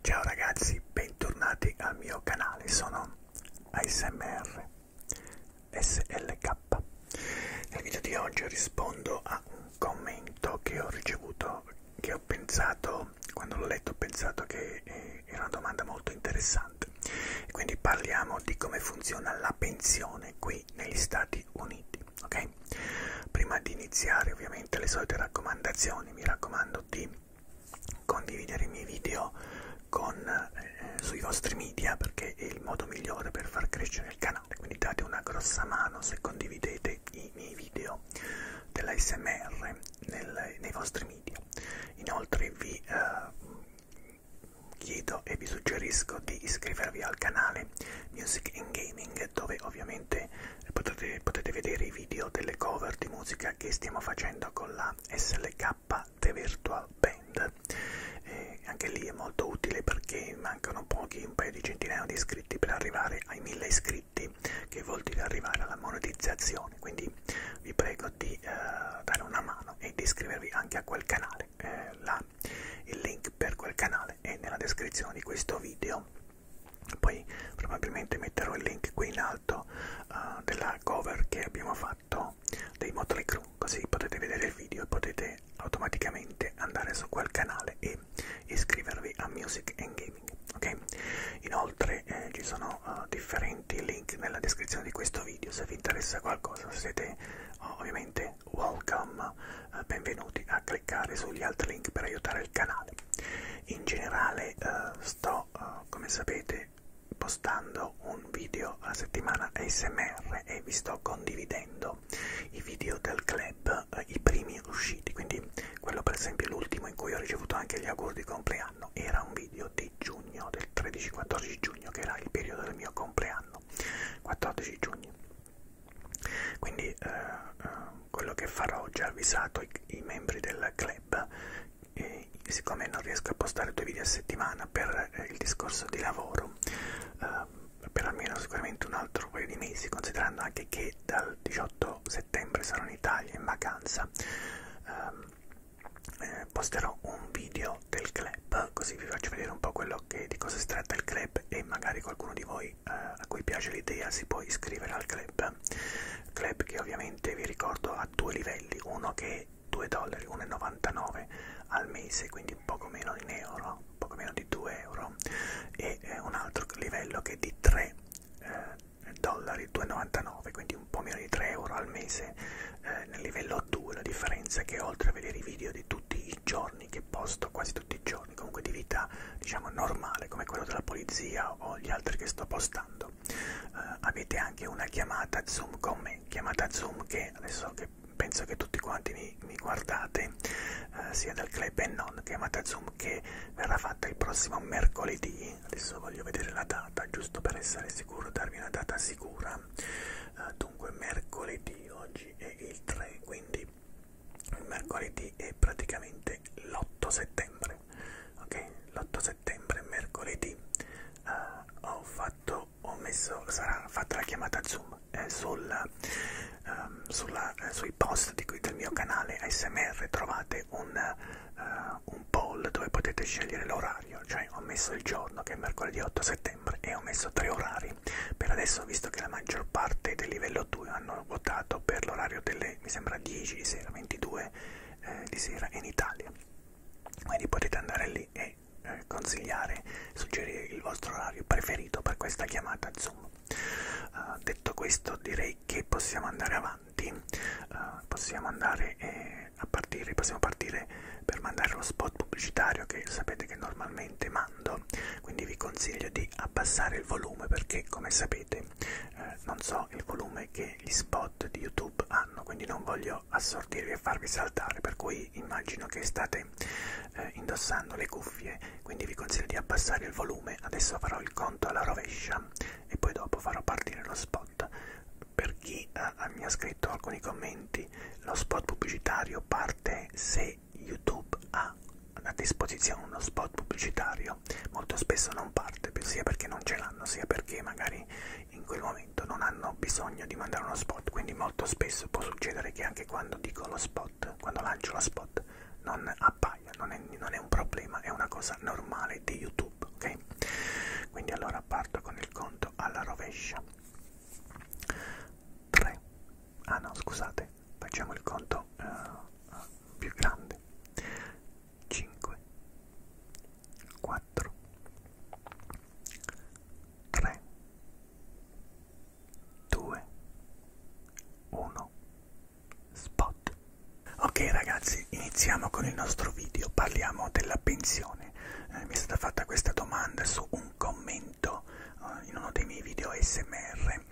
Ciao ragazzi, bentornati al mio canale, sono ASMR SLK. Nel video di oggi rispondo a un commento che ho ricevuto, che ho pensato, quando l'ho letto ho pensato che eh, era una domanda molto interessante. E quindi parliamo di come funziona la pensione qui negli Stati Uniti ok? Prima di iniziare ovviamente le solite raccomandazioni, mi raccomando di condividere i miei video con, eh, sui vostri media perché è il modo migliore per far crescere il canale, quindi date una grossa mano se condividete i miei video dell'ASMR nei vostri media. Inoltre vi eh, chiedo e vi suggerisco di iscrivervi al canale Music and Gaming dove ovviamente potete, potete vedere i video delle cover di musica che stiamo facendo con la SLK The Virtual Band. E anche lì è molto utile perché mancano pochi, un paio di centinaia di iscritti per arrivare ai 1000 iscritti che vuol dire arrivare alla monetizzazione. Quindi vi prego di eh, dare una mano e di iscrivervi anche a quel canale. Eh, la il link per quel canale è nella descrizione di questo video. Poi probabilmente metterò il link qui in alto uh, della cover che abbiamo fatto dei Motley Crue, così potete vedere il video e potete automaticamente andare su quel canale e iscrivervi a Music and Gaming. Okay? Inoltre eh, ci sono uh, differenti link nella descrizione di questo video se vi interessa qualcosa, se siete uh, ovviamente e welcome, eh, benvenuti a cliccare sugli altri link per aiutare il canale. In generale uh, sto, uh, come sapete, postando un video a settimana ASMR e vi sto condividendo i video del club, uh, i primi usciti, quindi quello per esempio l'ultimo in cui ho ricevuto anche gli auguri di compleanno, era un video di giugno, del 13-14 giugno, che era il periodo del mio compleanno, 14 giugno. Quindi eh, eh, quello che farò ho già avvisato i, i membri del club, e, siccome non riesco a postare due video a settimana per eh, il discorso di lavoro, eh, per almeno sicuramente un altro paio di mesi, considerando anche che dal 18 settembre sarò in Italia in vacanza, ehm, eh, posterò un video del club, così vi faccio vedere un po' quello che, di cosa si tratta il club e magari qualcuno di voi voi eh, a cui piace l'idea si può iscrivere al club club che ovviamente vi ricordo ha due livelli uno che è 2 dollari 1,99 al mese quindi un poco meno in euro poco meno di 2 euro e eh, un altro livello che è di 3 eh, dollari 2,99 quindi un po' meno di 3 euro al mese eh, nel livello 2 la differenza è che oltre a vedere i video di tutti i giorni che posto, quasi tutti i giorni, comunque di vita diciamo normale come quello della polizia o gli altri che sto postando, eh, avete anche una chiamata Zoom con me, chiamata Zoom che adesso che penso che tutti quanti mi, mi guardate, eh, sia dal club e non, chiamata Zoom che verrà fatta il prossimo mercoledì, adesso voglio vedere la data giusto per essere sicuro, darvi una data sicura, eh, dunque mercoledì oggi è il 3, quindi quindi mercoledì è praticamente l'8 settembre ok l'8 settembre mercoledì uh, ho fatto ho messo sarà fatta la chiamata zoom eh, sul, um, sulla, eh, sui post di cui, del mio canale smr trovate un, uh, un poll dove potete scegliere l'orario cioè ho messo il giorno che è mercoledì 8 settembre e ho messo tre orari per adesso visto che la maggior parte del livello 2 hanno votato per l'orario delle mi sembra 10 di sera 22 eh, di sera in Italia quindi potete andare lì e eh, consigliare suggerire il vostro orario preferito per questa chiamata zoom uh, ah, detto questo direi che possiamo andare avanti uh, possiamo andare eh, a partire possiamo partire per mandare lo spot pubblicitario che sapete che normalmente mando parlando quindi vi consiglio di abbassare il volume perché come sapete eh, non so il volume che gli spot di youtube hanno quindi non voglio assordirvi e farvi saltare per cui immagino che state eh, indossando le cuffie quindi vi consiglio di abbassare il volume adesso farò il conto alla rovescia e poi dopo farò partire lo spot per chi eh, mi ha scritto alcuni commenti lo spot pubblicitario parte se YouTube ha a disposizione uno spot pubblicitario, molto spesso non parte sia perché non ce l'hanno, sia perché magari in quel momento non hanno bisogno di mandare uno spot, quindi molto spesso può succedere che anche quando dico lo spot, quando lancio lo spot, non appaia, non è, non è un problema, è una cosa normale di YouTube, ok? Quindi allora parto con il conto alla rovescia. 3. Ah no, scusate, facciamo il conto uh, più grande 5 4 3 2 1 spot ok ragazzi iniziamo con il nostro video parliamo della pensione eh, mi è stata fatta questa domanda su un commento detto uh, eh, in uno dei miei video ASMR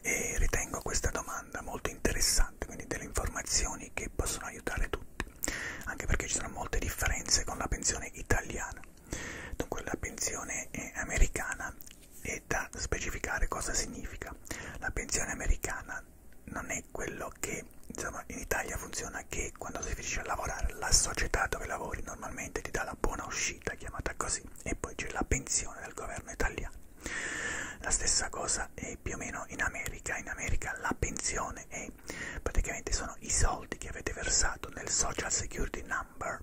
e ritengo questa domanda molto interessante, quindi delle informazioni che possono aiutare tutti, anche perché ci sono molte differenze con la pensione italiana. Dunque la pensione americana è da specificare cosa significa. La pensione americana non è quello che insomma, in Italia funziona che quando si finisce a lavorare la società dove lavori normalmente ti dà la buona uscita, chiamata così, e poi c'è la pensione del governo italiano. La stessa cosa è più o meno in America, in America la pensione è praticamente sono i soldi che avete versato nel Social Security Number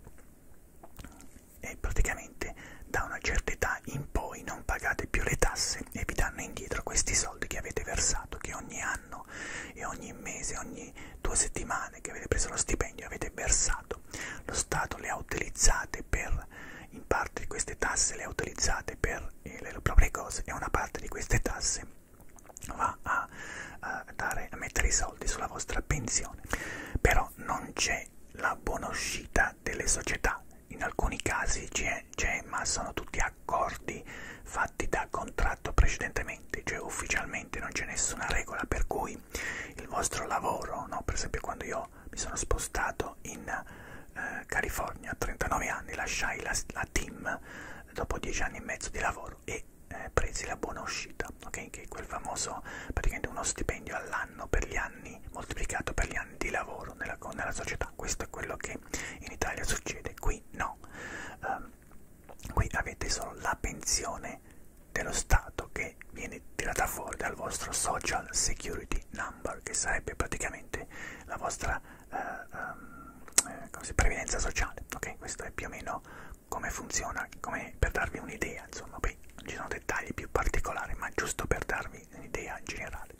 e praticamente da una certa età in poi non pagate più le tasse e vi danno indietro questi soldi che avete versato, che ogni anno e ogni mese, ogni due settimane che avete preso lo stipendio avete versato Stato. Lo Stato le ha utilizzate per, in parte di queste tasse le ha utilizzate per eh, le proprie cose e una parte di queste tasse va a, a, dare, a mettere i soldi sulla vostra pensione. Però non c'è la buonuscita delle società. In alcuni casi c'è, ma sono tutti accordi fatti da contratto precedentemente, cioè ufficialmente non c'è nessuna regola per cui voi, il vostro lavoro, no? per esempio quando io mi sono spostato in eh, California a 39 anni, lasciai la, la team dopo 10 anni e mezzo di lavoro e eh, presi la buona uscita, okay? che è quel famoso, praticamente uno stipendio all'anno per gli anni, moltiplicato per gli anni di lavoro nella, nella società, questo è quello che in Italia succede, qui no, um, qui avete solo la pensione dello Stato che viene tirata fuori dal vostro Social Security Number, che sarebbe praticamente la vostra eh, um, eh, così, previdenza sociale. Ok, questo è più o meno come funziona, come per darvi un'idea, insomma, poi ci sono dettagli più particolari, ma giusto per darvi un'idea generale.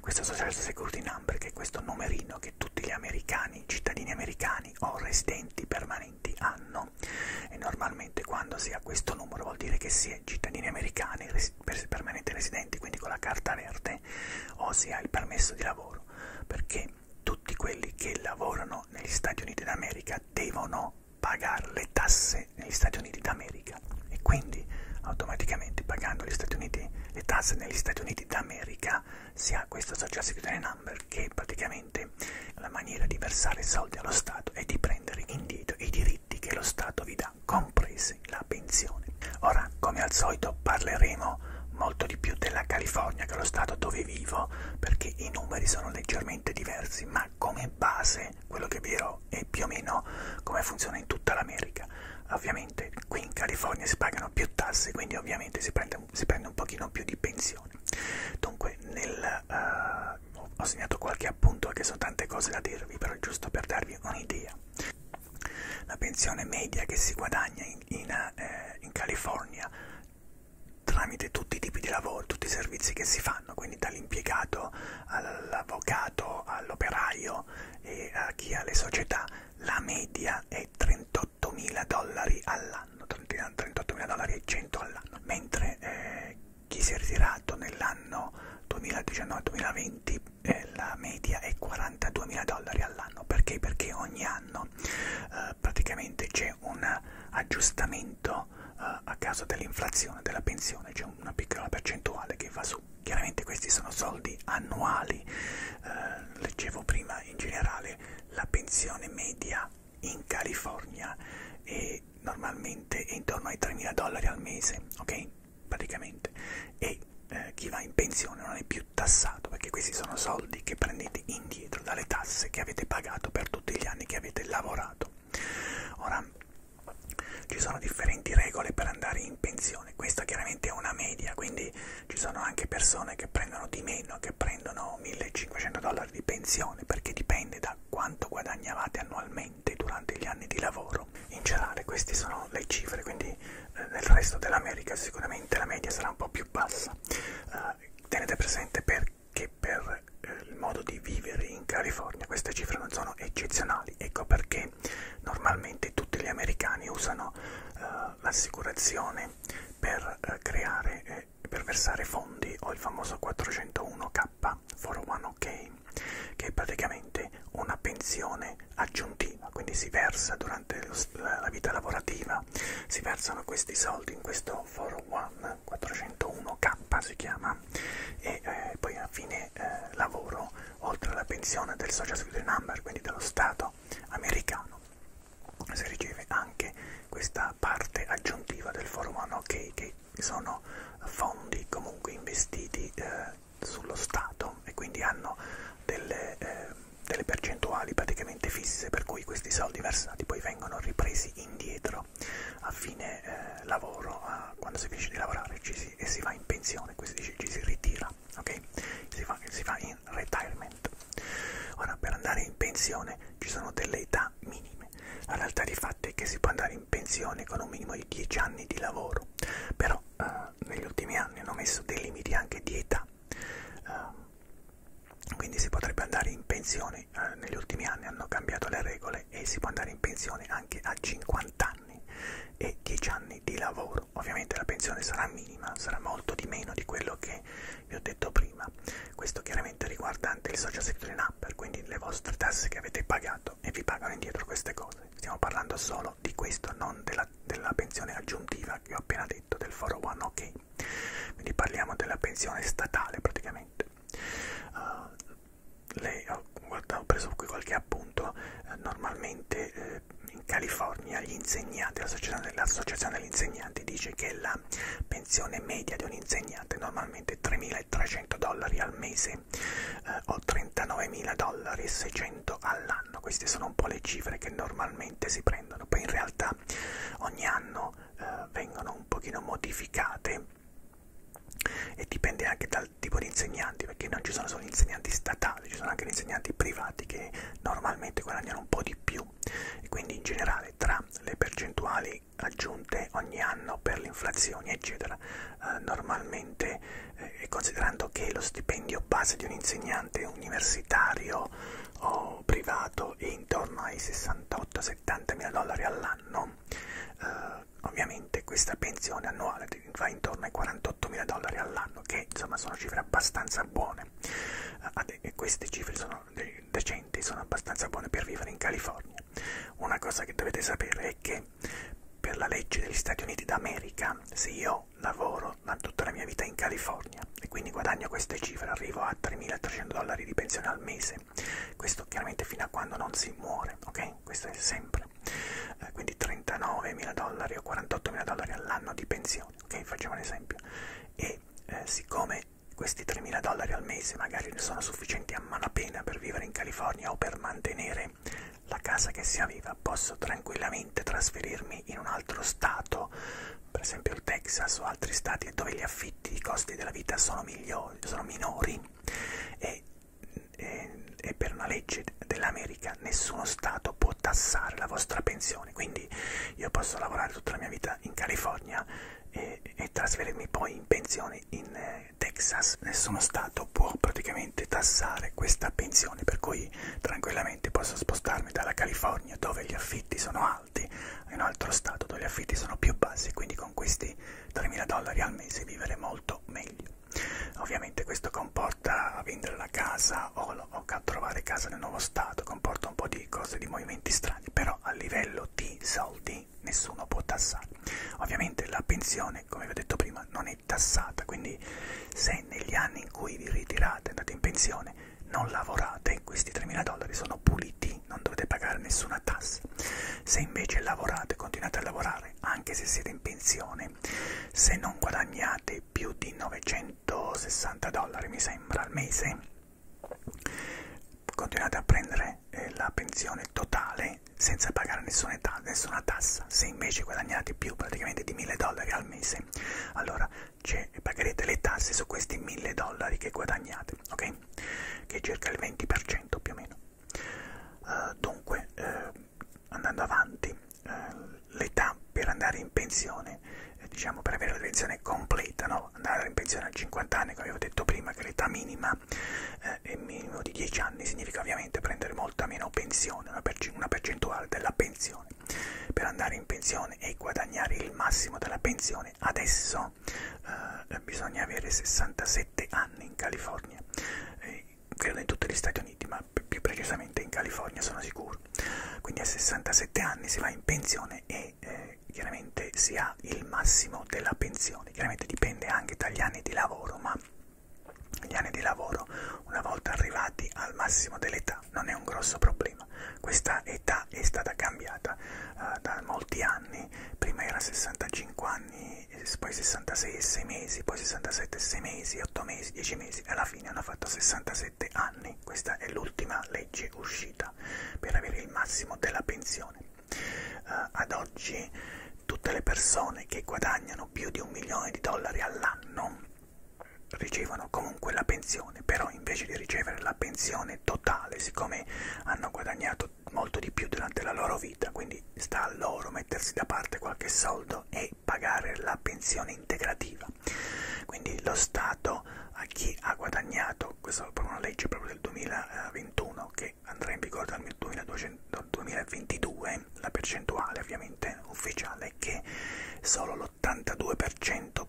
Questo Social Security Number, che è questo numerino che tutti gli americani, cittadini americani o residenti permanenti hanno italiano e normalmente quando si ha questo numero vuol dire che si è cittadini americani res permanenti residenti quindi con la carta verde o si ha il permesso di lavoro perché tutti quelli che lavorano negli Stati Uniti d'America devono pagare le tasse negli Stati Uniti d'America e quindi automaticamente pagando gli Stati Uniti, le tasse negli Stati Uniti d'America si ha questo social security number che praticamente praticamente la maniera di versare soldi allo Stato è di prendere indietro i diritti che lo Stato vi dà, comprese la pensione. Ora, come al solito, parleremo molto di più della California che è lo Stato dove vivo, perché i numeri sono leggermente diversi, ma come base quello che vi dirò è più o meno come funziona in tutta l'America. Ovviamente qui in California si pagano più tasse, quindi ovviamente si prende, si prende un pochino più di pensione. Dunque, nel, uh, ho segnato qualche appunto che sono tante cose da dirvi, però giusto per darvi un'idea. La pensione media che si guadagna in, in, eh, in California tramite tutti i tipi di lavoro, tutti i servizi che si fanno, quindi dall'impiegato all'avvocato, all'operaio e a chi ha le società, la media è 38.000 dollari all'anno all'anno, 38.000 dollari e 100 all'anno, mentre eh, chi si è ritirato nell'anno 2019-2020 eh, la media è 42.000 dollari all'anno, perché? Perché ogni anno eh, praticamente c'è un aggiustamento eh, a causa dell'inflazione della pensione, c'è una piccola percentuale che va su. Chiaramente questi sono soldi annuali, eh, leggevo prima in generale la pensione media in California e normalmente è intorno ai 3.000 dollari al mese, ok? Praticamente. E eh, chi va in pensione non è più tassato perché questi sono soldi che prendete indietro dalle tasse che avete pagato per tutti gli anni che avete lavorato. Ora, ci sono differenti regole per andare in pensione, questa chiaramente è una media, quindi ci sono anche persone che prendono di meno, che prendono 1500 dollari di pensione, perché dipende da quanto guadagnavate annualmente durante gli anni di lavoro. In generale queste sono le cifre, quindi eh, nel resto dell'America sicuramente la media sarà un po' più bassa. Eh, tenete presente perché per eh, il modo di vivere in California queste cifre non sono eccezionali, ecco perché normalmente tutti gli americani usano eh, l'assicurazione per eh, creare eh, per versare fondi ho il famoso 401k for 1ok che è praticamente una pensione aggiuntiva, quindi si versa durante la vita lavorativa, si versano questi soldi in questo 401 401k si chiama e eh, poi a fine eh, lavoro oltre alla pensione del social security number, quindi dello Stato americano, si riceve anche questa parte aggiuntiva del forum no, che, che sono fondi comunque investiti eh, sullo Stato e quindi hanno delle, eh, delle percentuali praticamente fisse per cui questi soldi versati poi vengono ripresi indietro a fine eh, lavoro, a, quando si finisce di lavorare ci si, e si va in pensione, quindi ci, ci si ritira, ok? Si fa, si fa in retirement. Ora per andare in pensione ci sono delle età minime pensione. La realtà di fatto è che si può andare in pensione con un minimo di 10 anni di lavoro, però eh, negli ultimi anni hanno messo dei limiti anche di età, eh, quindi si potrebbe andare in pensione, eh, negli ultimi anni hanno cambiato le regole e si può andare in pensione anche a 50 anni e 10 anni di lavoro. Ovviamente la pensione sarà minima, sarà molto di meno di quello che vi ho detto prima. Questo chiaramente riguarda anche il social security number, quindi le vostre tasse che avete pagato e vi pagano indietro queste cose. Stiamo parlando solo di questo, non della, della pensione aggiuntiva che ho appena detto, del 401 ok. Quindi parliamo della pensione statale praticamente. Uh, lei, ho, guarda, ho preso qui qualche appunto, eh, normalmente eh, in California gli insegnanti, l'associazione dell degli insegnanti dice che la pensione media di un insegnante normalmente praticamente 3.300 dollari al mese eh, o 39.600 dollari all'anno. Queste sono un po' le cifre che normalmente si prendono, poi in realtà ogni anno eh, vengono un pochino modificate e dipende anche dal tipo di insegnanti, perché non ci sono solo insegnanti statali, ci sono anche insegnanti privati che normalmente guadagnano un po' di più e quindi in generale tra le percentuali tasse aggiunte ogni anno per l'inflazione, eccetera. Eh, normalmente, eh, considerando che lo stipendio base di un insegnante universitario o privato è intorno ai 68-70 mila dollari all'anno, eh, ovviamente questa pensione annuale va intorno ai 48 mila dollari all'anno, che insomma sono cifre abbastanza buone. Eh, queste cifre sono sono decenti, sono abbastanza buone per vivere in California. Una cosa che dovete sapere è che per la legge degli Stati Uniti d'America, se io lavoro da tutta la mia vita in California e quindi guadagno queste cifre, arrivo a 3.300 dollari di pensione al mese, questo chiaramente fino a quando non si muore, ok? Questo è sempre. Eh, quindi 39.000 dollari o 48.000 dollari all'anno di pensione, ok? Facciamo un esempio. E eh, siccome questi 3.000 dollari al mese magari sono sufficienti a malapena per vivere in California o per mantenere la casa che si aveva, posso tranquillamente trasferirmi in un altro stato, per esempio il Texas o altri stati dove gli affitti, i costi della vita sono, migliori, sono minori e, e, e per una legge dell'America nessuno stato può tassare la vostra pensione, quindi io posso lavorare tutta la mia vita in California e, e trasferirmi poi in pensione in eh, Texas. Nessuno Stato può praticamente tassare questa pensione, per cui tranquillamente posso spostarmi dalla California dove gli affitti sono alti in un altro Stato dove gli affitti sono più bassi, quindi con questi 3.000 dollari al mese vivere molto meglio. Ovviamente questo comporta vendere la casa o, o trovare casa nel nuovo Stato, comporta un po' di cose, di movimenti strani, però a livello di soldi che nessuno può tassare. Ovviamente la pensione, come vi ho detto prima, non è tassata, quindi se negli anni in cui vi ritirate, andate in pensione, non lavorate, questi 3.000 dollari sono puliti, non dovete pagare nessuna tassa. Se invece lavorate, continuate a lavorare, anche se siete in pensione, se non guadagnate più di 960 dollari, mi sembra, al mese, continuate a prendere eh, la pensione totale senza pagare nessuna, ta nessuna tassa se invece guadagnate più praticamente di 1000 dollari al mese allora pagherete le tasse su questi 1000 dollari che guadagnate ok che è circa il 20% più o meno uh, dunque uh, andando avanti uh, l'età per andare in pensione diciamo per avere la pensione completa no? volevo andare in pensione a 50 anni, come avevo detto prima che l'età minima eh, è minimo di 10 anni, significa ovviamente prendere molta meno pensione, una, perc una percentuale della pensione. Per andare in pensione e guadagnare il massimo della pensione adesso eh, bisogna avere 67 anni in California, eh, credo in tutti gli Stati Uniti, ma più precisamente in California sono sicuro. Quindi a 67 anni si va in pensione e che eh, chiaramente si ha il massimo della pensione, chiaramente dipende anche dagli anni di lavoro, ma gli anni di lavoro una volta arrivati al massimo dell'età non è un grosso problema. Questa età è stata cambiata uh, da molti anni, prima era 65 anni, poi 66 e 6 mesi, poi 67 e 6 mesi, 8 mesi, 10 mesi, alla fine hanno fatto 67 anni. Questa è l'ultima legge uscita per avere il massimo della pensione. Uh, ad oggi tutte le persone che guadagnano più di un milione di dollari all'anno ricevono comunque la pensione, però invece di ricevere la pensione totale, siccome hanno guadagnato molto di più durante la loro vita, quindi sta a loro mettersi da parte qualche soldo e pagare la pensione integrativa. Quindi lo Stato a chi ha guadagnato appunto, questa è una legge proprio del 2021 che andrà in vigore dal 2022, la percentuale ovviamente ufficiale è che solo l'82,5%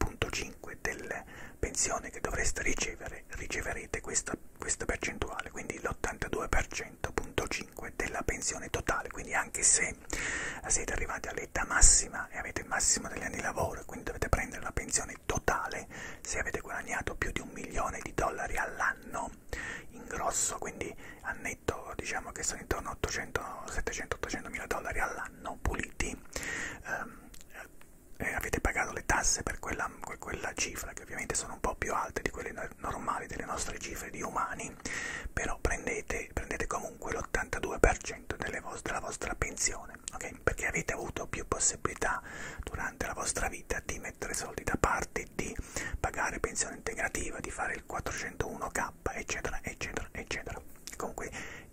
delle pensioni che dovreste ricevere riceverete questa, questa percentuale, quindi l'82,5% della pensione totale, quindi anche se siete arrivati all'età massima e avete il massimo degli anni di lavoro, quindi dovete prendere la pensione totale se avete guadagnato più di un milione di dollari all'anno in grosso quindi a netto diciamo che sono intorno a 800 700 800 mila dollari all'anno puliti um, eh, avete pagato le tasse per quella, per quella cifra che ovviamente sono un po' più alte di quelle no normali delle nostre cifre di umani però prendete, prendete comunque l'82% della vostra pensione persone, ok? Perché avete avuto più possibilità durante la vostra vita di mettere soldi da parte, di pagare pensione integrativa, di fare il 401k, eccetera, eccetera, eccetera. Comunque,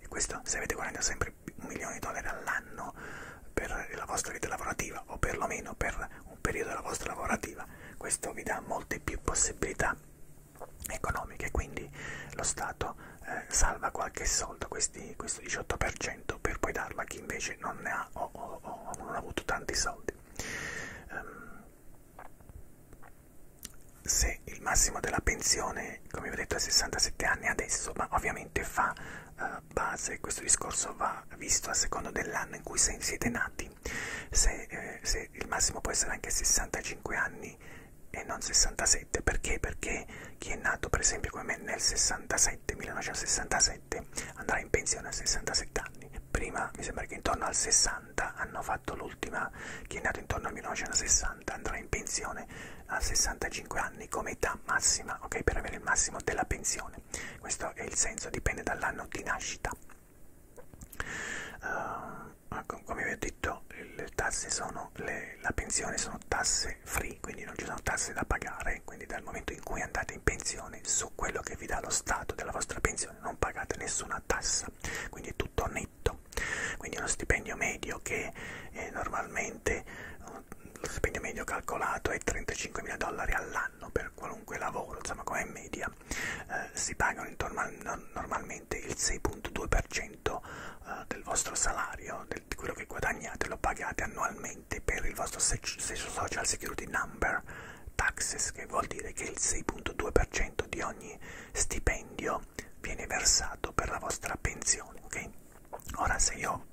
questo se avete guadagnato sempre un milione di dollari all'anno per la vostra vita lavorativa o perlomeno per un periodo della vostra lavorativa, questo vi dà molte più possibilità economiche, quindi lo Stato eh, salva qualche soldo questi, questo 18% per poi darlo a chi invece non ne ha o, o, o non ha avuto tanti soldi. Um, se il massimo della pensione, come vi ho detto, è 67 anni adesso, ma ovviamente fa uh, base, questo discorso va visto a seconda dell'anno in cui siete nati, se, eh, se il massimo può essere anche 65 anni e non 67, perché? Perché chi è nato per esempio come me nel 67, 1967 andrà in pensione a 67 anni. Prima mi sembra che intorno al 60 hanno fatto l'ultima, chi è nato intorno al 1960 andrà in pensione a 65 anni come età massima, ok? Per avere il massimo della pensione. Questo è il senso, dipende dall'anno di nascita. Uh, come vi ho detto, le tasse sono, le, la pensione sono tasse free, lavoratori, quindi non ci sono tasse da pagare, quindi dal momento in cui andate in pensione su quello che vi dà lo Stato della vostra pensione non pagate nessuna tassa, quindi è tutto netto. Quindi uno stipendio medio che eh, normalmente, lo stipendio medio calcolato è 35.000 dollari all'anno per qualunque lavoro, insomma come media, eh, si pagano intorno a, normalmente il 6.2% eh, del vostro salario, del, di quello che guadagnate lo pagate annualmente per il vostro social security number taxes, che vuol dire che il 6.2% di ogni stipendio viene versato per la vostra pensione, ok? Ora se io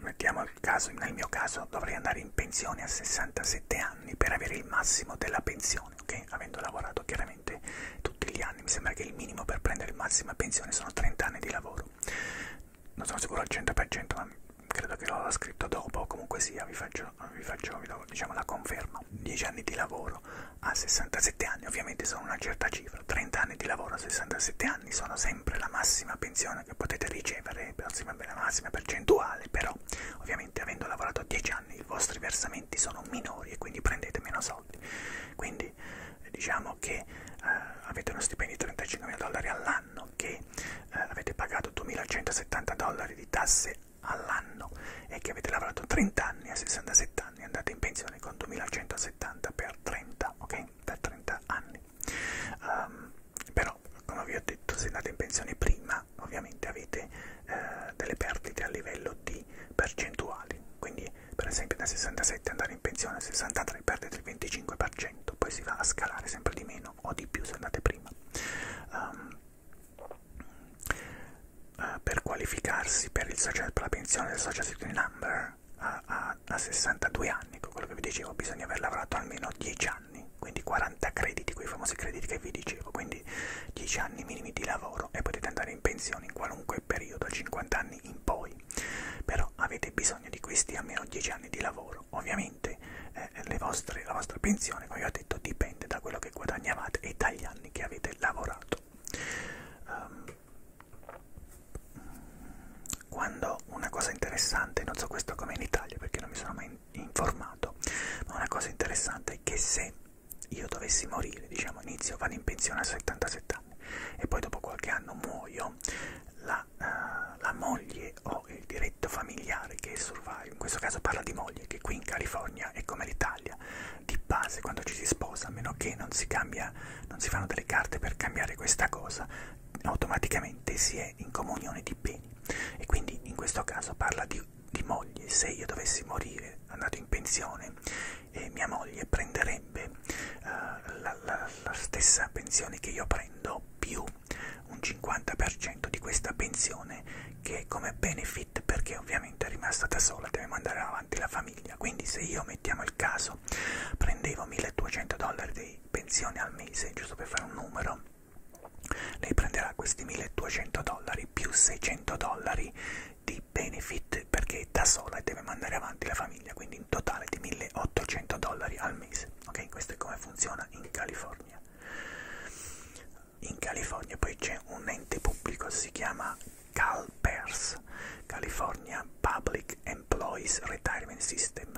mettiamo il caso, nel mio caso dovrei andare in pensione a 67 anni per avere il massimo della pensione, ok? Avendo lavorato chiaramente tutti gli anni, mi sembra che il minimo per prendere il massimo pensione sono 30 anni di lavoro non sono sicuro al 100% ma credo che l'ho scritto dopo comunque sia vi faccio, vi faccio vi do, diciamo la conferma 10 anni di lavoro a 67 anni ovviamente sono una certa cifra 30 anni di lavoro a 67 anni sono sempre la massima pensione che potete ricevere la massima percentuale però ovviamente avendo lavorato 10 anni i vostri versamenti sono minori e quindi prendete meno soldi quindi quindi eh, diciamo che eh, avete uno stipendio di 35.000 dollari all'anno, che eh, avete pagato 2.170 dollari di tasse all'anno e che avete lavorato 30 anni, a 67 anni, andate in pensione con 2.170 per 30, ok? Per 30 anni. Um, però, come vi ho detto, se andate in pensione prima, ovviamente avete eh, delle perdite a livello di percentuali, quindi per esempio da 67 andare in pensione a 63 perdete il 25%, poi si va a scalare sempre di meno o di più se andate prima. Um, uh, per qualificarsi per, il social, per la pensione del Social Security Number a, a, a 62 anni, con quello che vi dicevo, bisogna aver lavorato almeno 10 anni, quindi 40 crediti, quei famosi crediti che vi dicevo, quindi 10 anni minimi di lavoro e potete andare in pensione in qualunque periodo, 50 anni in poi però avete bisogno di questi almeno 10 anni di lavoro ovviamente eh, le vostre, la vostra pensione come vi ho detto dipende da quello che guadagnavate e dagli anni che avete lavorato um, quando una cosa interessante non so questo come in Italia perché non mi sono mai informato ma una cosa interessante è che se io dovessi morire diciamo inizio vado in pensione a 77 anni e poi dopo qualche anno muoio, la, uh, la moglie o il diritto familiare che survive, in questo caso parla di moglie, che qui in California è come l'Italia, di base quando ci si sposa, a meno che non si, cambia, non si fanno delle carte per cambiare questa cosa, automaticamente si è in comunione di beni e quindi in questo caso parla di, di moglie, se io dovessi morire andato in pensione e mia moglie prenderebbe uh, la, la, la stessa pensione che io prendo più un 50% di questa pensione che è come benefit perché ovviamente è rimasta da sola, deve mandare avanti la famiglia. Quindi se io mettiamo il caso, prendevo 1200 dollari di pensione al mese, giusto per fare un numero, lei prenderà questi 1200 dollari più 600 dollari di benefit perché è da sola e deve mandare avanti la famiglia, quindi quindi un totale di 1800 dollari al mese. Ok, questo è come funziona in California. In California poi c'è un ente pubblico, si chiama CalPERS, California Public Employees Retirement System,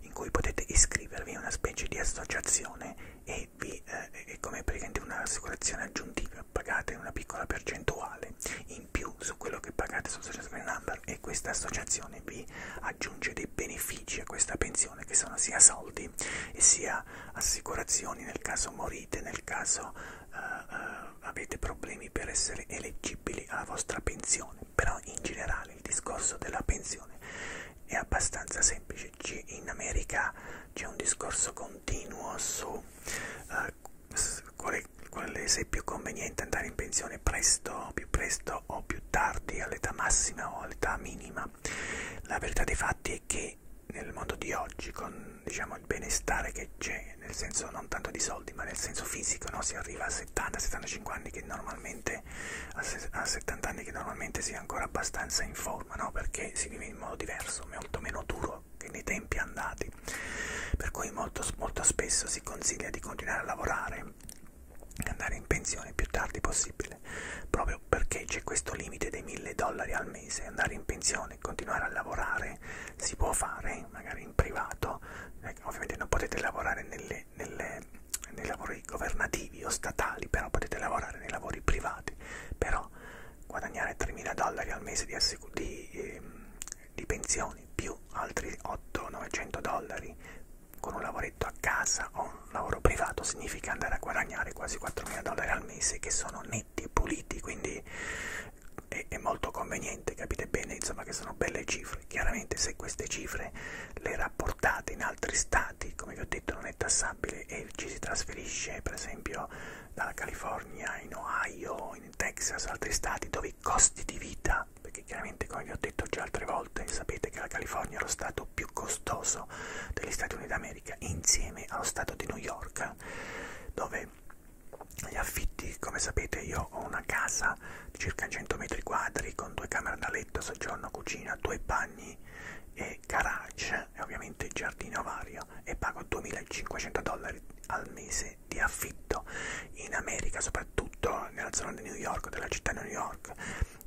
in cui potete iscrivervi a una specie di associazione e vi, eh, è come praticamente un'assicurazione aggiuntiva, pagate una piccola percentuale in più su quello che pagate sul social security number e questa associazione vi aggiunge dei benefici a questa pensione che sono sia soldi e sia assicurazioni nel caso morite, nel caso uh, uh, avete problemi per essere eleggibili alla vostra pensione, però in generale il discorso della pensione è abbastanza semplice, in America c'è un discorso continuo su uh, qual è, qual è se è più conveniente andare in pensione presto, più presto o più tardi, all'età massima o all'età minima. La verità dei fatti è che nel mondo di oggi, con diciamo, il benestare che c'è, nel senso non tanto di soldi, ma nel senso fisico, no? si arriva a 70-75 anni che normalmente a 70 anni che normalmente si è ancora abbastanza in forma, no? perché si vive in modo diverso, molto meno duro che nei tempi andati ok? Per cui molto, molto spesso si consiglia di continuare a lavorare e andare in pensione più tardi possibile, proprio perché c'è questo limite dei 1000 dollari al mese, andare in pensione e continuare a lavorare si può fare, magari in privato, eh, ovviamente non potete lavorare nelle, nelle, nei lavori governativi o statali, però potete lavorare nei lavori privati, però guadagnare 3.000 dollari al mese di, di eh, di pensioni più altri 800-900 dollari con un lavoretto a casa o un lavoro privato significa andare a guadagnare quasi 4.000 dollari al mese che sono netti e puliti quindi è, è molto conveniente capite bene insomma che sono belle cifre chiaramente se queste cifre le rapportate in altri stati come vi ho detto non è tassabile e ci si trasferisce per esempio dalla California in Ohio in in Texas, altri stati dove i costi di vita, perché chiaramente come vi ho detto già altre volte, sapete che la California è lo stato più costoso degli Stati Uniti d'America, insieme allo stato di New York, dove gli affitti, come sapete io ho una casa di circa 100 metri quadri con due camere da letto, soggiorno, cucina, due bagni e garage e ovviamente giardino vario e pago 2500 dollari al mese mese di affitto in America, soprattutto nella zona di New York, della città di New York,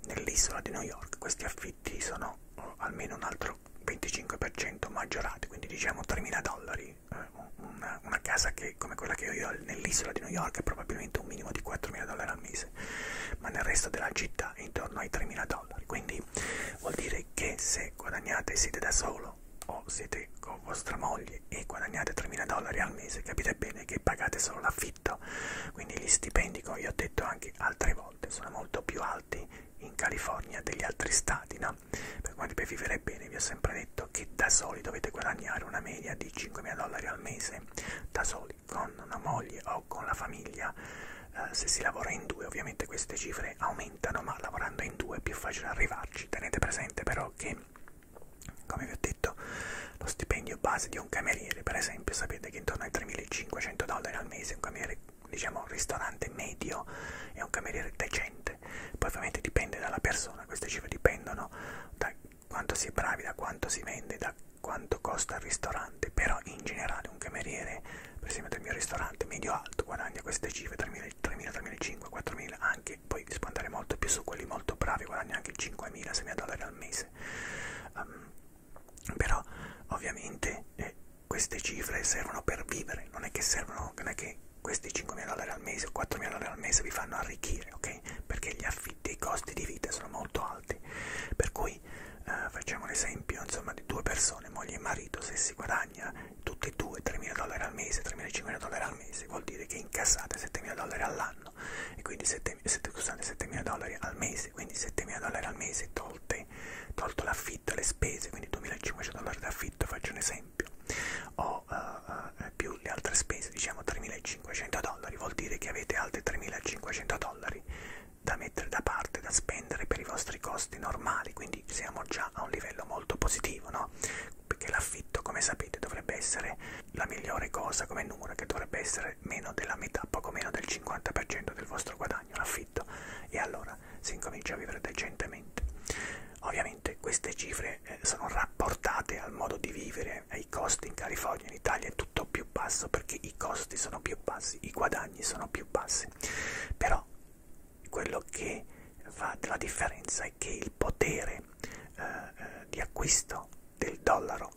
nell'isola di New York, questi affitti sono eh, almeno un altro 25% maggiorati, quindi diciamo 3.000 dollari. Eh, una, una casa che, come quella che io ho nell'isola di New York è probabilmente un minimo di 4.000 dollari al mese, ma nel resto della città è intorno ai 3.000 dollari. Quindi vuol dire che se guadagnate e siete da solo, marito o siete con vostra moglie e guadagnate 3.000 dollari al mese, capite bene che pagate solo l'affitto. Quindi gli stipendi, come vi ho detto anche altre volte, sono molto più alti in California degli altri stati, no? Per quanto per vivere bene vi ho sempre detto che da soli dovete guadagnare una media di 5.000 dollari al mese, da soli, con una moglie o con la famiglia. Uh, se si lavora in due ovviamente queste cifre aumentano ma lavorando in due è più facile arrivarci tenete presente però che come vi ho detto lo stipendio base di un cameriere per esempio sapete che intorno ai 3.500 dollari al mese un cameriere diciamo un ristorante medio è un cameriere decente poi ovviamente dipende dalla persona queste cifre dipendono da quanto si è bravi da quanto si vende da quanto costa il ristorante però in generale un cameriere per esempio del mio ristorante medio alto guadagna queste cifre 3.000 3.000 3.500 4.000 anche che poi si può andare molto più su quelli molto bravi, guadagna anche 5.000-6.000 dollari al mese. Um, però ovviamente eh, queste cifre servono per vivere, non è che servono, non è che questi 5.000 dollari al mese o 4.000 dollari al mese vi fanno arricchire, ok? Perché gli affitti, i costi di vita sono molto alti. Per cui eh, facciamo un esempio, insomma, di due persone, moglie e marito, se si guadagna tutte e due 3.000 dollari al mese, 3.500 dollari al mese, vuol dire che incassate 7.000 dollari all'anno e quindi 7.000 dollari al mese, quindi 7.000 dollari al mese tolte, tolto l'affitto e le spese, quindi 2.500 dollari d'affitto, faccio un esempio, o uh, uh, più le altre spese, diciamo 3.500 dollari, vuol dire che avete altri 3.500 dollari da mettere da parte, da spendere per i vostri costi normali, quindi siamo già a un livello molto positivo, no? perché l'affitto come sapete dovrebbe essere la migliore cosa come numero che dovrebbe essere meno della metà, poco meno del 50% del vostro guadagno, l'affitto e allora si incomincia a vivere decentemente. Ovviamente queste cifre eh, sono rapportate al modo di vivere, ai costi in California, in Italia è tutto più basso perché i costi sono più bassi, i guadagni sono più bassi, però quello che fa la differenza è che il potere eh, eh, di acquisto del dollaro,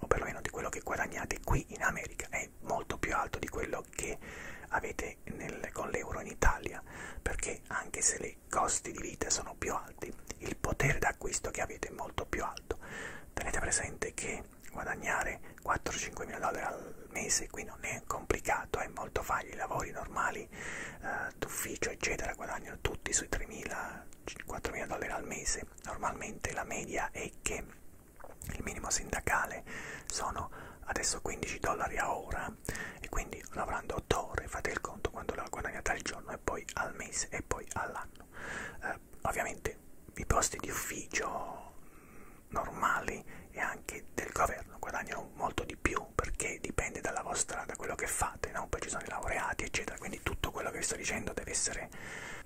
o perlomeno di quello che guadagnate qui in America, è molto più alto di quello che avete nel, con l'euro in Italia, perché anche se i costi di vita sono più alti, il potere d'acquisto che avete è molto più alto. Tenete presente che guadagnare 4-5 mila dollari al mese qui non è complicato, è molto facile, i lavori normali eh, d'ufficio eccetera guadagnano tutti sui 3.000-4.000 dollari al mese normalmente la media è che il minimo sindacale sono adesso 15 dollari a ora e quindi lavorando 8 ore fate il conto quando la guadagnate al giorno e poi al mese e poi all'anno eh, ovviamente i posti di ufficio normali e anche del governo guadagnano molto di più no? Perché dipende dalla vostra, da quello che fate, no? Poi ci sono i laureati, eccetera. Quindi tutto quello che vi sto dicendo deve essere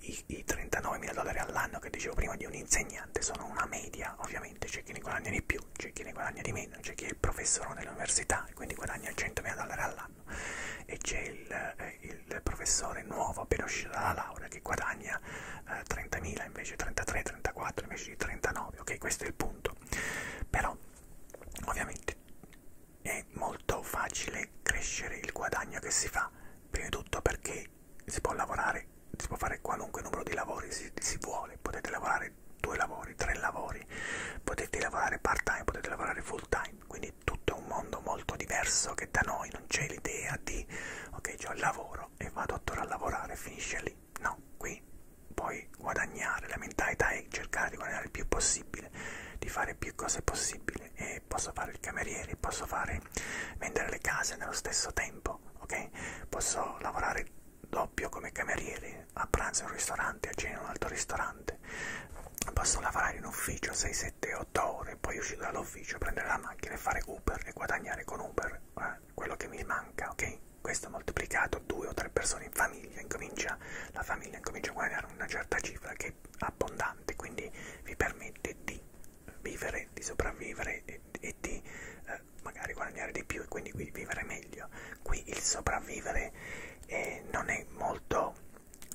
i, i 39.000 dollari all'anno che dicevo prima di un insegnante, sono una media, ovviamente. C'è chi ne guadagna di più, c'è chi ne guadagna di meno, c'è chi è il professore dell'università e quindi guadagna 100.000 dollari all'anno e c'è il, eh, il professore nuovo appena uscito dalla laurea che guadagna eh, 30.000 invece 33, 34 invece di 39, ok? Questo è il punto. Però ovviamente è molto facile crescere il guadagno che si fa prima di tutto perché si può lavorare si può fare qualunque numero di lavori si, si vuole potete lavorare due lavori tre lavori potete lavorare part time potete lavorare full time quindi tutto è un mondo molto diverso che da noi non c'è l'idea di ok ho cioè il lavoro e vado a tornare a lavorare finisce lì No, qui puoi guadagnare, la mentalità è cercare di guadagnare il più possibile, di fare più cose possibile e posso fare il cameriere, posso fare vendere le case nello stesso tempo, ok? Posso lavorare doppio come cameriere, a pranzo in un ristorante, a cena in un altro ristorante, posso lavorare in ufficio 6, 7, 8 ore, poi uscire dall'ufficio, prendere la macchina e fare Uber e guadagnare con Uber eh, quello che mi manca, ok? questo moltiplicato due o tre persone in famiglia, incomincia, la famiglia incomincia a guadagnare una certa cifra che è abbondante, quindi vi permette di vivere, di sopravvivere e, e di eh, magari guadagnare di più e quindi vivere meglio. Qui il sopravvivere eh, non è molto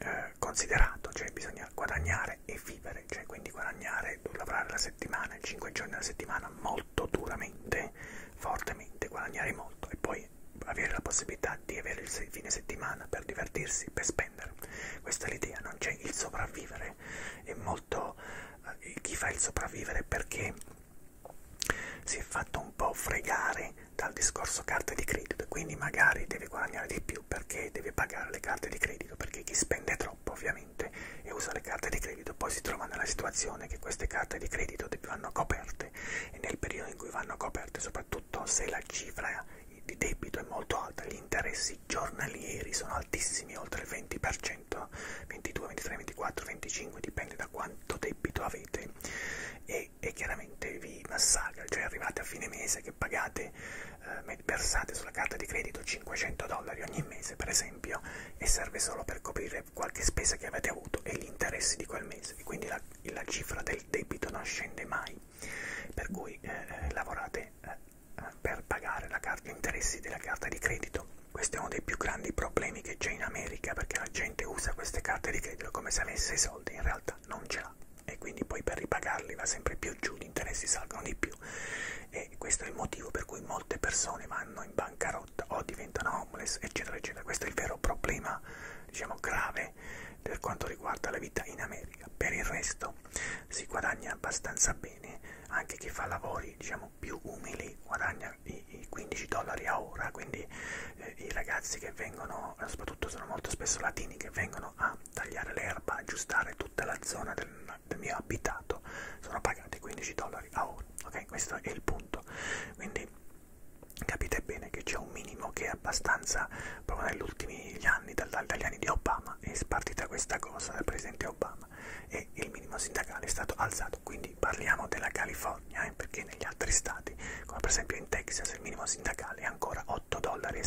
eh, considerato, cioè bisogna guadagnare e vivere, cioè quindi guadagnare, lavorare la settimana, 5 giorni alla settimana molto duramente, fortemente, guadagnare molto e poi vuoi avere la possibilità di avere il fine settimana per divertirsi, per spendere. Questa è l'idea, non c'è il sopravvivere. È molto eh, chi fa il sopravvivere perché si è fatto un po' fregare dal discorso carte di credito, quindi magari deve guadagnare di più perché deve pagare le carte di credito, perché chi spende troppo ovviamente e usa le carte di credito poi si trova nella situazione che queste carte di credito vanno coperte coperte e nel periodo in cui vanno coperte, soprattutto se la cifra di debito è molto alta, gli interessi giornalieri sono altissimi, oltre il 20%, 22, 23, 24, 25, dipende da quanto debito avete e, e chiaramente vi massacra, cioè arrivate a fine mese che pagate, eh, versate sulla carta di credito 500 dollari ogni mese per esempio e serve solo per coprire eh, qualche spesa che avete avuto e gli interessi di quel mese e quindi la, la cifra del debito non scende mai per cui eh, eh lavorate eh, eh, per pagare la carta, gli interessi della carta di credito questo è uno dei più grandi problemi che c'è in America perché la gente usa queste carte di credito come se avesse i soldi in realtà non ce l'ha e quindi poi per ripagarli va sempre più giù, gli interessi salgono di più e questo è il motivo per cui molte persone vanno in bancarotta lotta o diventano homeless eccetera eccetera questo è il vero problema diciamo grave per quanto riguarda la vita in America per il resto si guadagna abbastanza bene anche chi fa lavori diciamo più umili guadagna i 15 dollari a ora quindi eh, i ragazzi che vengono soprattutto sono molto spesso latini che vengono a tagliare l'erba aggiustare tutta la zona del, del mio abitato sono pagati 15 dollari a ora ok questo è il punto quindi capite bene che c'è un minimo che è abbastanza proprio negli ultimi anni, dagli anni di Obama, è spartita questa cosa dal presidente Obama e il minimo sindacale è stato alzato, quindi parliamo della California, eh, perché negli altri stati, come per esempio in Texas, il minimo sindacale è ancora 8,75 dollari,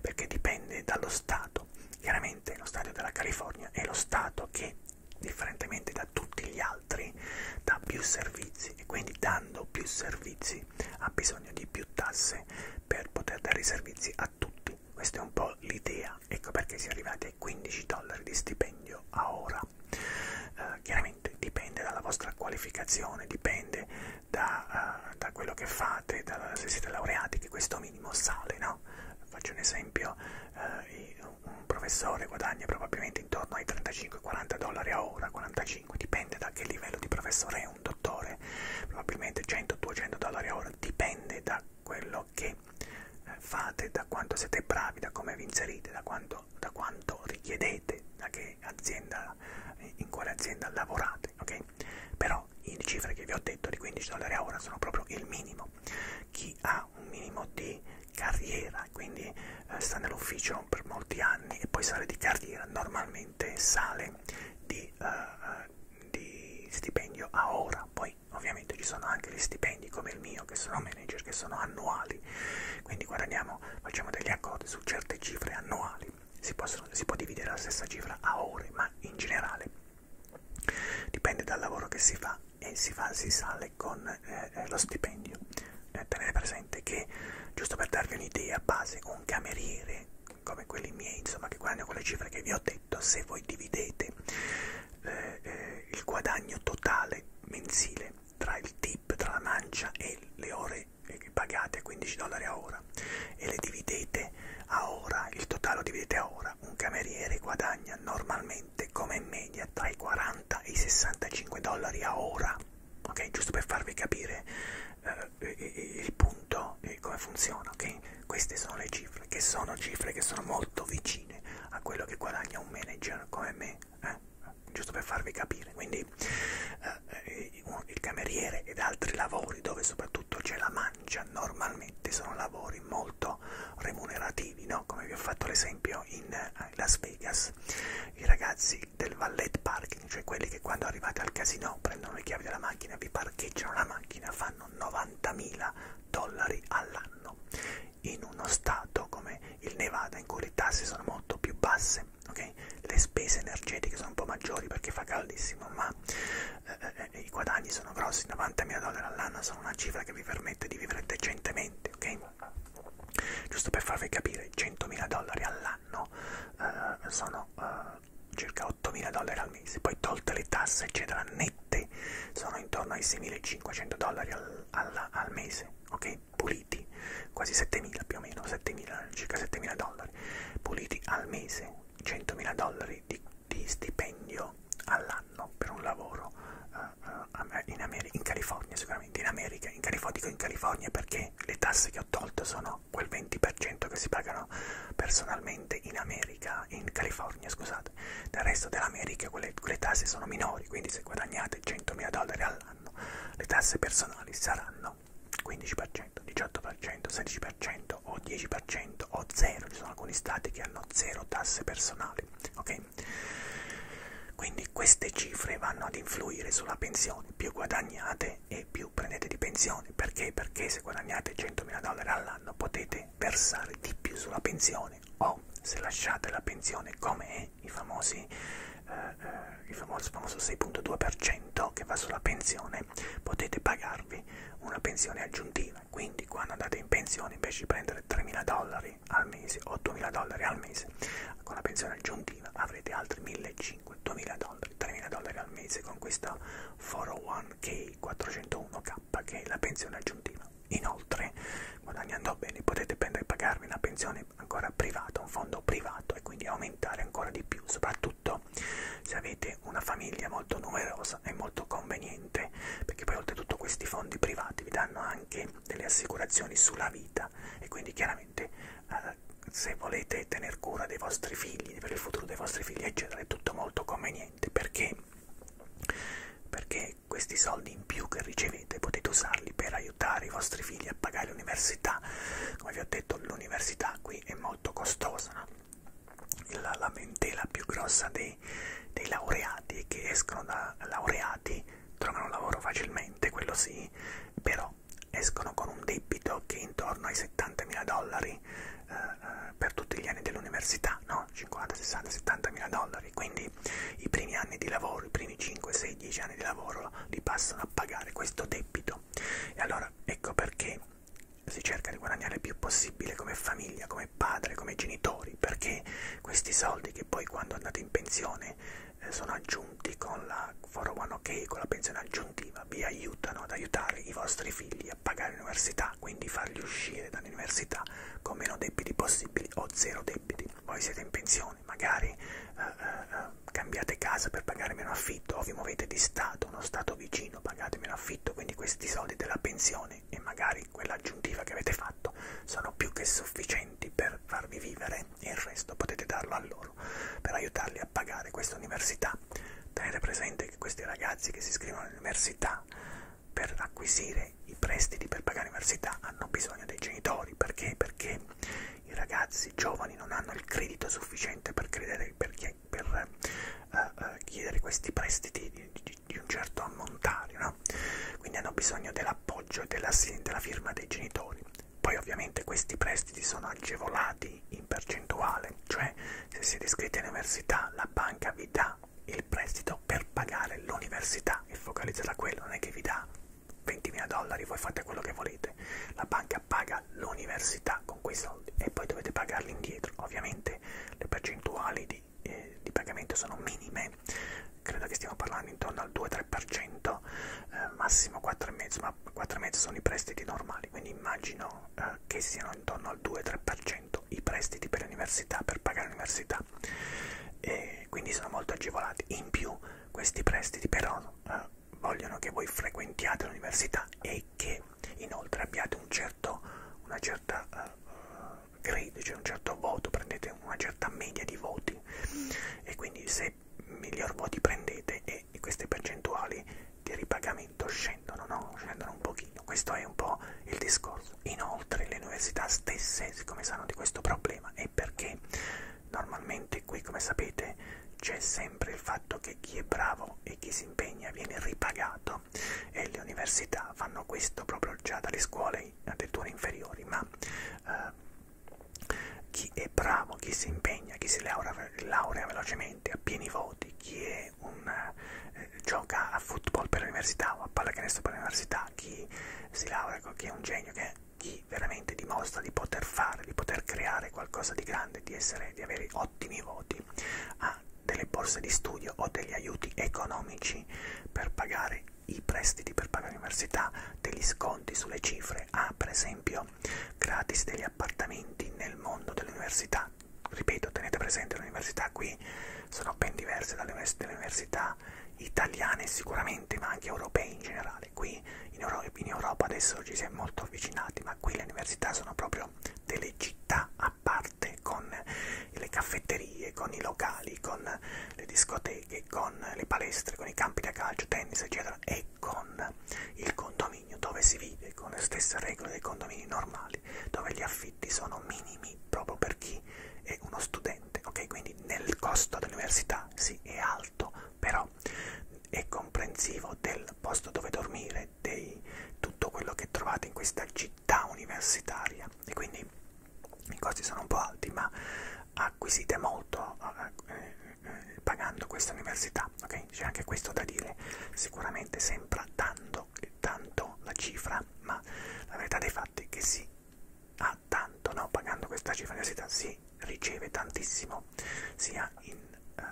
perché dipende dallo Stato. Chiaramente lo Stato della California è lo Stato che differentemente da tutti gli altri, dà più servizi e quindi dando più servizi ha bisogno di più tasse per poter dare i servizi a tutti. Questa è un po' l'idea, ecco perché si è arrivati ai 15 dollari di stipendio a ora. Eh, chiaramente dipende dalla vostra qualificazione, dipende da, uh, da quello che fate, da, se siete laureati che questo minimo sale, no? Faccio un esempio, eh, un professore guadagna probabilmente intorno ai 35-40 dollari a ora, 45, dipende da che livello di professore è un dottore, probabilmente 100-200 dollari a ora, dipende da quello che eh, fate, da quanto siete bravi, da come vi inserite, da quanto, da quanto richiedete, da che azienda, in quale azienda lavorate, ok? Però le cifre che vi ho detto di 15 dollari a ora sono proprio il minimo. Chi chi ha un minimo di carriera, quindi eh, sta nell'ufficio per molti anni e poi sale di carriera, normalmente sale di, eh, eh, di stipendio a ora. Poi ovviamente ci sono anche gli stipendi come il mio, che sono manager, che sono annuali, quindi guadagniamo, facciamo degli accordi su certe cifre annuali. Si, possono, si può dividere la stessa cifra a ore, ma in generale dipende dal lavoro che si fa e si, fa, si sale con eh, eh, lo stipendio. Eh, tenete presente che, giusto per darvi un'idea base, un cameriere come quelli miei, insomma, che guadagnano con le cifre che vi ho detto, se voi dividete eh, eh, il guadagno totale mensile tra il tip, tra la mancia e le ore che eh, pagate a 15 dollari a ora e le dividete a ora, il totale lo dividete a ora, un cameriere guadagna normalmente solitamente come media tra i 40 e i 65 dollari a ora ok giusto per farvi capire eh, il punto e come funziona ok queste sono le cifre che sono cifre che sono molto vicine a quello che guadagna un manager come me eh? giusto per farvi capire quindi eh, eh il cameriere ed altri lavori dove soprattutto c'è la mancia normalmente sono lavori molto remunerativi, no? come vi ho fatto l'esempio in eh, Las Vegas, i ragazzi del valet parking, cioè quelli che quando arrivate al casino prendono le chiavi della macchina, vi parcheggiano la macchina, fanno 90.000 dollari all'anno in uno stato come il Nevada in cui le tasse sono molto più basse, okay? le spese energetiche sono un po' maggiori perché fa caldissimo, ma eh, eh, eh i guadagni sono grossi, 90.000 dollari all'anno sono una cifra che vi permette di vivere decentemente, ok? giusto per farvi capire 100.000 dollari all'anno eh, sono eh, circa 8.000 dollari al mese poi tolte le tasse eccetera nette sono intorno ai 6.500 dollari al, al, al mese ok puliti quasi 7.000 più o meno 7.000 circa 7.000 dollari puliti al mese 100.000 dollari di, di stipendio all'anno anno per un lavoro uh, uh, in, America, in California, sicuramente in America, in California, dico in California perché le tasse che ho tolto sono quel 20% che si pagano personalmente in America, in California, scusate, nel resto dell'America quelle, quelle tasse sono minori, quindi se guadagnate 100.000 dollari all'anno le tasse personali saranno 15%, 18%, 16% o 10% o 0, ci sono alcuni stati che hanno 0 tasse personali, ok? Quindi queste cifre vanno ad influire sulla pensione, più guadagnate e più prendete di pensione. Perché? Perché se guadagnate 100.000 dollari all'anno potete versare di più sulla pensione o se lasciate la pensione come è, i famosi... Eh, eh il famoso, famoso 6.2% che va sulla pensione, potete pagarvi una pensione aggiuntiva. Quindi, quando andate in pensione, invece di prendere 3.000 dollari dollari al mese, 8.000 dollari al mese, con la pensione aggiuntiva avrete altri 1.500, 2.000 dollari, 3.000 dollari al mese con questa 401k, 401k che è la pensione aggiuntiva. Inoltre, guadagnando bene, potete prendere e pagarvi una pensione ancora privata, un fondo privato e quindi aumentare ancora di più, soprattutto se avete una famiglia molto numerosa è molto conveniente perché poi oltretutto questi fondi privati vi danno anche delle assicurazioni sulla vita e quindi chiaramente eh, se volete tener cura dei vostri figli, per il futuro dei vostri figli eccetera è tutto molto conveniente perché, perché questi soldi in più che ricevete potete usarli per aiutare i vostri figli a pagare l'università, come vi ho detto l'università qui è molto costosa, no? la lamentela più grossa dei dei, dei laureati che escono da laureati trovano lavoro facilmente, quello sì, però escono con un debito che è intorno ai 70 mila dollari eh, eh, per tutti gli anni dell'università, no? 50, 60, 70 mila dollari, quindi i primi anni di lavoro, i primi 5, 6, 10 anni di lavoro li passano a pagare questo debito. E allora ecco perché si cerca di guadagnare il più possibile come famiglia, come padre, come genitori, perché questi soldi che poi quando andate in pensione eh, sono aggiunti con la 401k, con la pensione aggiuntiva, vi aiutano ad aiutare i vostri figli a pagare l'università, quindi farli uscire dall'università con meno debiti possibili o zero debiti. Voi siete in pensione, magari eh, eh, eh cambiate casa per pagare meno affitto o vi muovete di stato, uno stato vicino, pagate meno affitto, quindi questi soldi della pensione e magari e quella aggiuntiva che avete fatto sono più che sufficienti per farvi vivere e il resto potete darlo a loro per aiutarli a pagare questa università. Tenete presente che questi ragazzi che si iscrivono all'università per acquisire i prestiti per pagare l'università hanno bisogno dei genitori perché? Perché i ragazzi giovani non hanno il credito sufficiente per, credere, per, per uh, uh, chiedere questi prestiti di, di, di, di un certo ammontare, no? quindi hanno bisogno dell'appoggio e della, della firma dei genitori. Poi ovviamente questi prestiti sono agevolati in percentuale, cioè se siete iscritti all'università la banca vi dà il prestito per pagare l'università e focalizzata a quello, non è che vi dà 20.000 dollari, voi fate quello che volete, la banca paga l'università con quei soldi e poi dovete pagarli indietro. Ovviamente le percentuali di di, eh, di pagamento sono minime, credo che stiamo parlando intorno al 2-3%, eh, massimo 4,5%, ma 4,5% sono i prestiti normali, quindi immagino eh, che siano intorno al 2-3% i prestiti per l'università, per pagare l'università, e quindi sono molto agevolati. In più questi prestiti però eh, vogliono che voi frequentiate l'università e che inoltre abbiate un certo, una certa... Eh, grade, cioè un certo voto, prendete una certa media di voti e quindi se miglior voti prendete e queste percentuali di ripagamento scendono, no? Scendono un pochino, questo è un po' il discorso. Inoltre le università stesse, siccome sanno di questo problema, è perché normalmente qui, come sapete, c'è sempre il fatto che chi è bravo e chi si impegna viene ripagato e le università fanno questo proprio già dalle scuole tuoi, dei tuoi inferiori, ma eh, chi è bravo, chi si impegna, chi si laurea, laurea velocemente, a pieni voti, chi è un, eh, gioca a football per l'università o a pallacanestro per l'università, chi si laurea, chi è un genio, che, chi veramente dimostra di poter fare, di poter creare qualcosa di grande, di, essere, di avere ottimi voti, ha delle borse di studio o degli aiuti economici per pagare i prestiti per pagare l'università, degli sconti sulle cifre, ha ah, per esempio gratis degli appartamenti nel mondo dell'università. Ripeto, tenete presente le università qui sono ben diverse dalle università italiane sicuramente, ma anche europee in generale. Qui in Europa, in Europa adesso ci si è molto avvicinati, ma qui le università sono proprio delle città a parte con le caffetterie, con i locali, con le discoteche, con le palestre, con i campi da calcio, tennis, eccetera, e con il condominio dove si vive con le stesse regole dei condomini normali, dove gli affitti sono minimi proprio per chi è uno studente, ok? Quindi nel costo dell'università sì è alto, però è comprensivo del posto dove dormire, di tutto quello che trovate in questa città universitaria e quindi i costi sono un po' alti ma acquisite molto eh, eh, eh, pagando questa università ok c'è anche questo da dire sicuramente sembra tanto eh, tanto la cifra ma la verità dei fatti è che si ha tanto no pagando questa cifra università si riceve tantissimo sia in eh,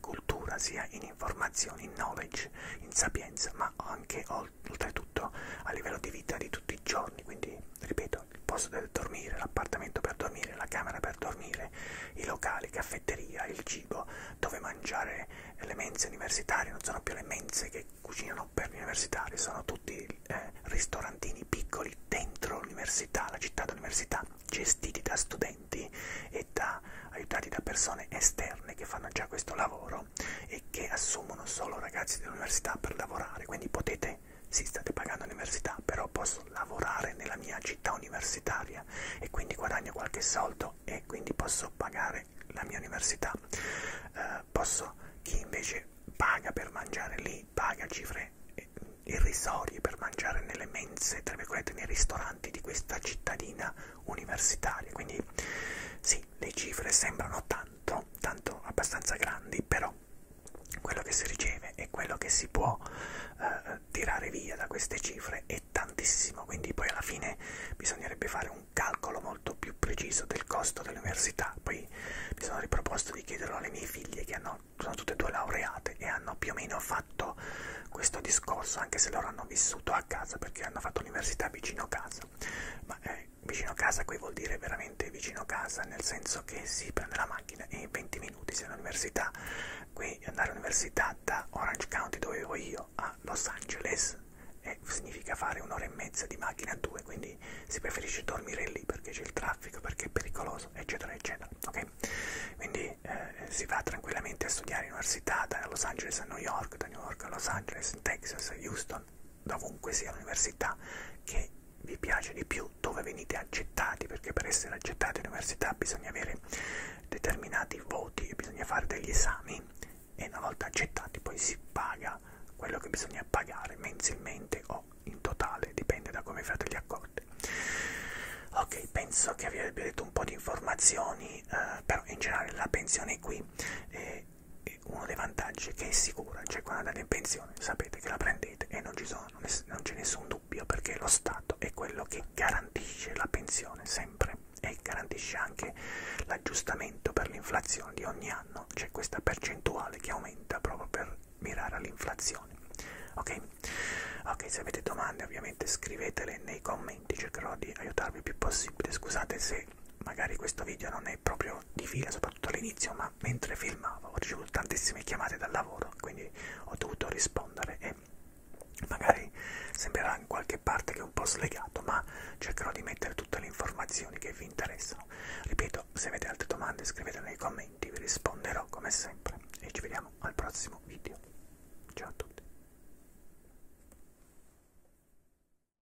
cultura sia in informazioni in knowledge in sapienza ma anche oltre oltretutto a livello di vita di tutti i giorni, quindi ripeto, il posto per dormire, l'appartamento per dormire, la camera per dormire, i locali, caffetteria, il cibo, dove mangiare le mense universitarie, non sono più le mense che cucinano per gli universitari, sono tutti eh, ristorantini piccoli dentro l'università, la città dell'università, gestiti da studenti e da, aiutati da persone esterne che fanno già questo lavoro euro e che assumono solo ragazzi dell'università per lavorare, quindi potete sì, state pagando l'università, però posso lavorare nella mia città universitaria e quindi guadagno qualche soldo e quindi posso pagare la mia università. Eh, posso, chi invece paga per mangiare lì, paga cifre irrisorie per mangiare nelle mense, tra virgolette, nei ristoranti di questa cittadina universitaria. Quindi sì, le cifre sembrano tante tanto, tanto abbastanza grandi, però quello che si riceve e quello che si può eh, tirare via da queste cifre è tantissimo, quindi poi alla fine bisognerebbe fare un calcolo molto più preciso del costo dell'università. Poi mi sono riproposto di chiederlo alle mie figlie che hanno, sono tutte e due laureate e hanno più o meno fatto questo discorso, anche se loro hanno vissuto a casa perché hanno fatto l'università vicino casa. Ma eh, vicino a casa qui vuol dire veramente vicino a casa, nel senso che si prende la macchina e in 20 minuti si è all'università. Qui andare all'università da Orange County dove vivo io a Los Angeles eh, significa fare un'ora e mezza di macchina a due, quindi si preferisce dormire lì perché c'è il traffico, perché è pericoloso, eccetera, eccetera. ok? Quindi eh, si va tranquillamente a studiare all'università da Los Angeles a New York, da New York a Los Angeles, Texas, Houston da ovunque sia l'università che vi piace di più, dove venite accettati, perché per essere accettati all'università bisogna avere determinati voti, bisogna fare degli esami e una volta accettati poi si paga quello che bisogna pagare mensilmente o in totale, dipende da come fate gli accordi. Ok, penso che vi abbia detto un po' di informazioni, eh, però in generale la pensione è qui. Eh, e uno dei vantaggi è che è sicura, cioè quando andate in pensione sapete che la prendete e non, ci sono, non c'è nessun dubbio perché lo Stato è quello che garantisce la pensione sempre e garantisce anche l'aggiustamento per l'inflazione di ogni anno, c'è questa percentuale che aumenta proprio per mirare all'inflazione. Ok? Ok, se avete domande ovviamente scrivetele nei commenti, cercherò di aiutarvi il più possibile. Scusate se magari questo video non è proprio di fila, soprattutto all'inizio, ma mentre filmavo ho ricevuto tantissime chiamate dal lavoro, quindi ho dovuto rispondere e magari sembrerà in qualche parte che è un po' slegato, ma cercherò di mettere tutte le informazioni che vi interessano. Ripeto, se avete altre domande scrivetele nei commenti, vi risponderò come sempre e ci vediamo al prossimo video. Ciao a tutti.